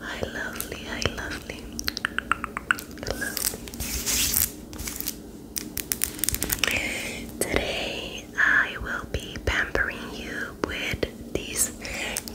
Hi, lovely. Hi, lovely. Hello. Today I will be pampering you with these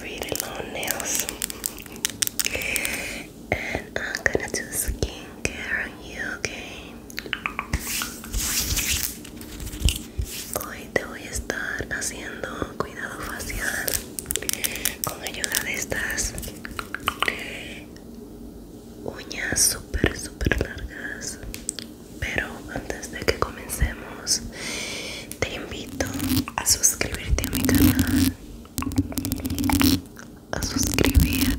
really long nails, and I'm gonna do skincare on you, okay? Hoy te voy a estar haciendo cuidado facial con ayuda de estas uñas súper, súper largas. Pero antes de que comencemos, te invito a suscribirte a mi canal, a suscribirte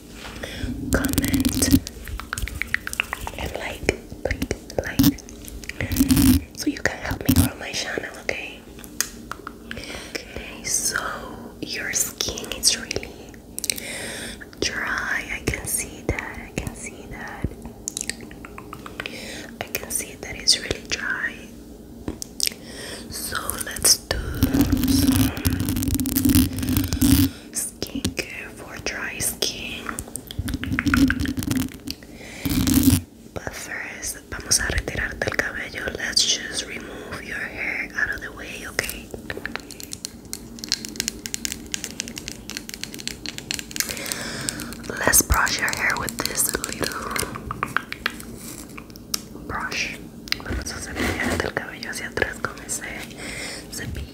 comment and like, like, like, so you can help me grow my channel, okay? Okay, so your skin is really dry. I can see that. I can see that. I can see that it's really dry. So let's do some skincare for dry skin. But first, vamos a retirarte el cabello. Let's just remove your hair out of the way, okay? Let's brush your hair with this little brush. Vamos a cepillarte el cabello hacia atrás con ese cepillo.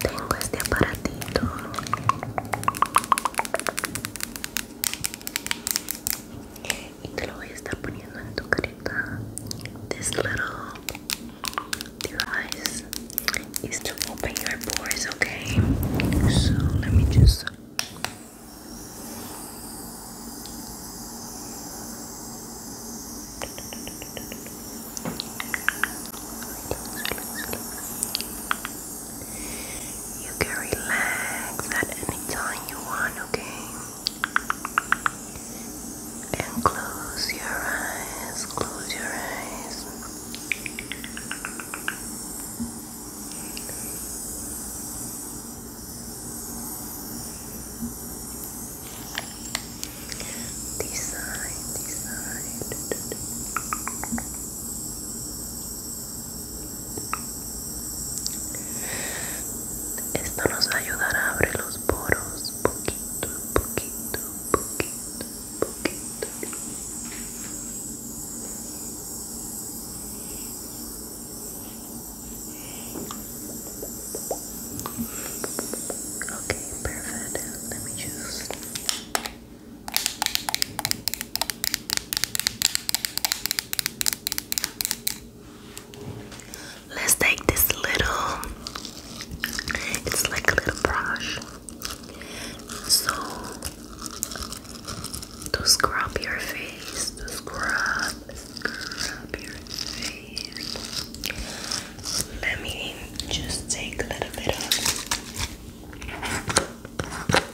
Tengo este aparatito. Y te lo voy a estar poniendo en tu carita. This little device is to open your pores, okay? So let me just you can relax at any time you want, okay? And close your eyes, close your eyes. Decide, decide. Esto nos ayudará a abrir los poros poquito, poquito, poquito. Okay, perfect. Let me just. Let's take this little. It's like a little brush. So, to scrub your face, to scrub, scrub your face. Let me just take a little bit of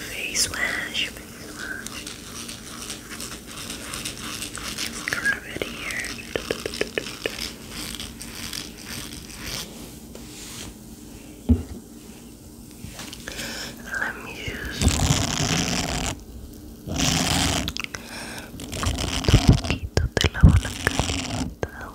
face wash, Grab it here. Let me use un poquito te lavo la carita con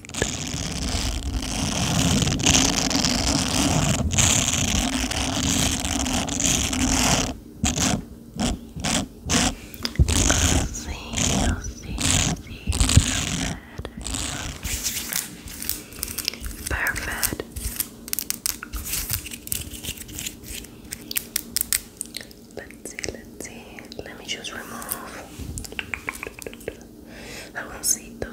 You'll see, you'll see, you'll see. Perfect. Let's see, let's see. Let me just remove. Jaboncito.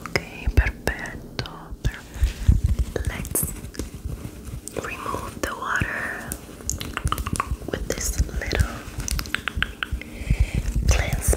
Ok, perfetto. Let's remove the water with this little cleanse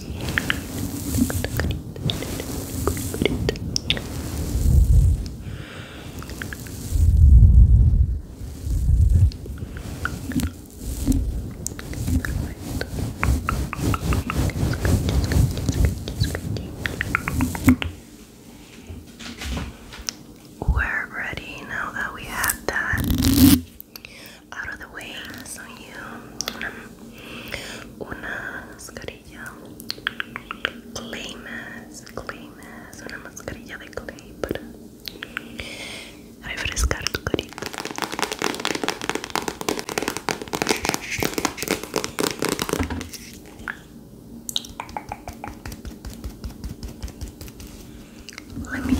We're ready now that we have that out of the way. So you, una mascarilla clay mask, una mascarilla de clay para refrescar tu carita. Let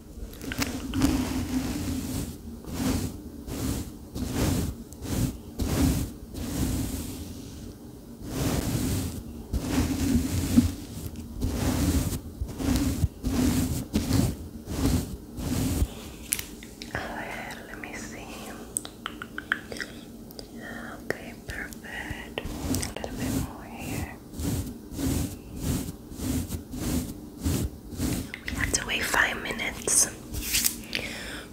A ver, Okay, perfect. A little bit more here. We have to wait five minutes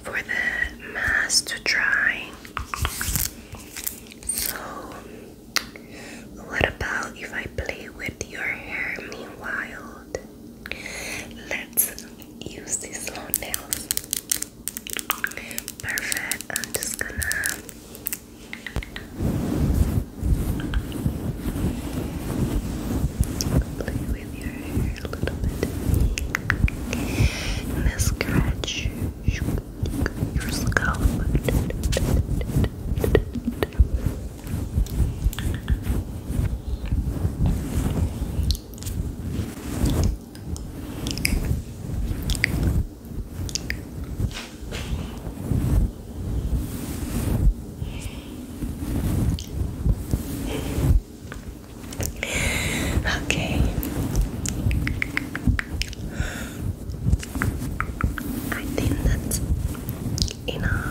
for the mask to dry. So, what about if I play with your hair meanwhile? Let's use these long nails. Perfect. I'm just gonna Play with your hair a little bit. And then scratch your scalp. Okay. I think that's enough.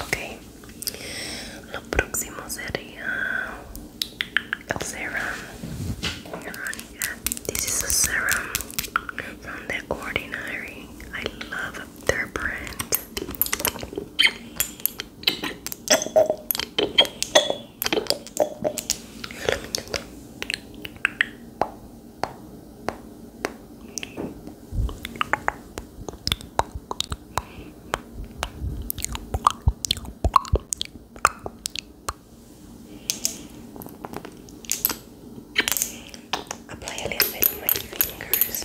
Ok, lo próximo sería el serum. This is a serum from The Ordinary. I love their brand. Apply a little bit with my fingers.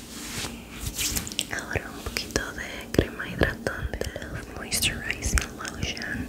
Ahora un poquito de crema hidratante, moisturizing lotion.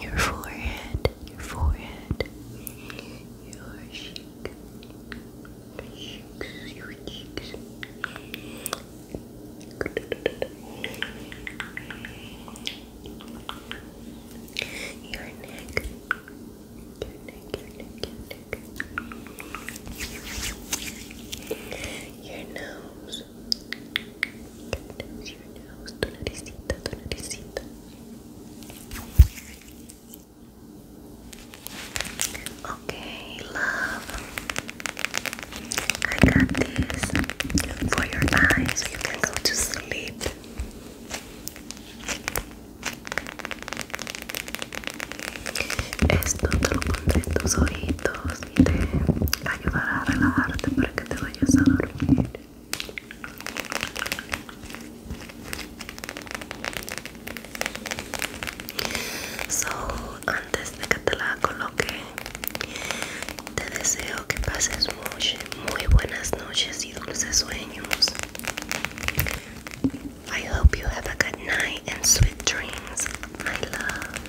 your forehead, your forehead, your cheek, cheeks, your cheeks. your neck. Your nose, Okay, love. I got this for your eyes so you can go to sleep. Esto te lo en tus ojitos te ayudará a relajarte para que te vayas a dormir. So, antes de que te la coloque, te deseo que pases muy, muy buenas noches y dulces sueños. I hope you have a good night and sweet dreams, I love.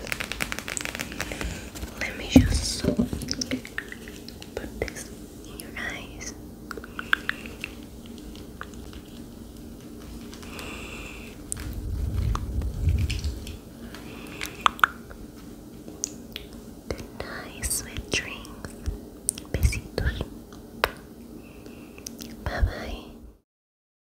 Let me just put this in your eyes. Good night, sweet dreams. Besitos. Bye bye.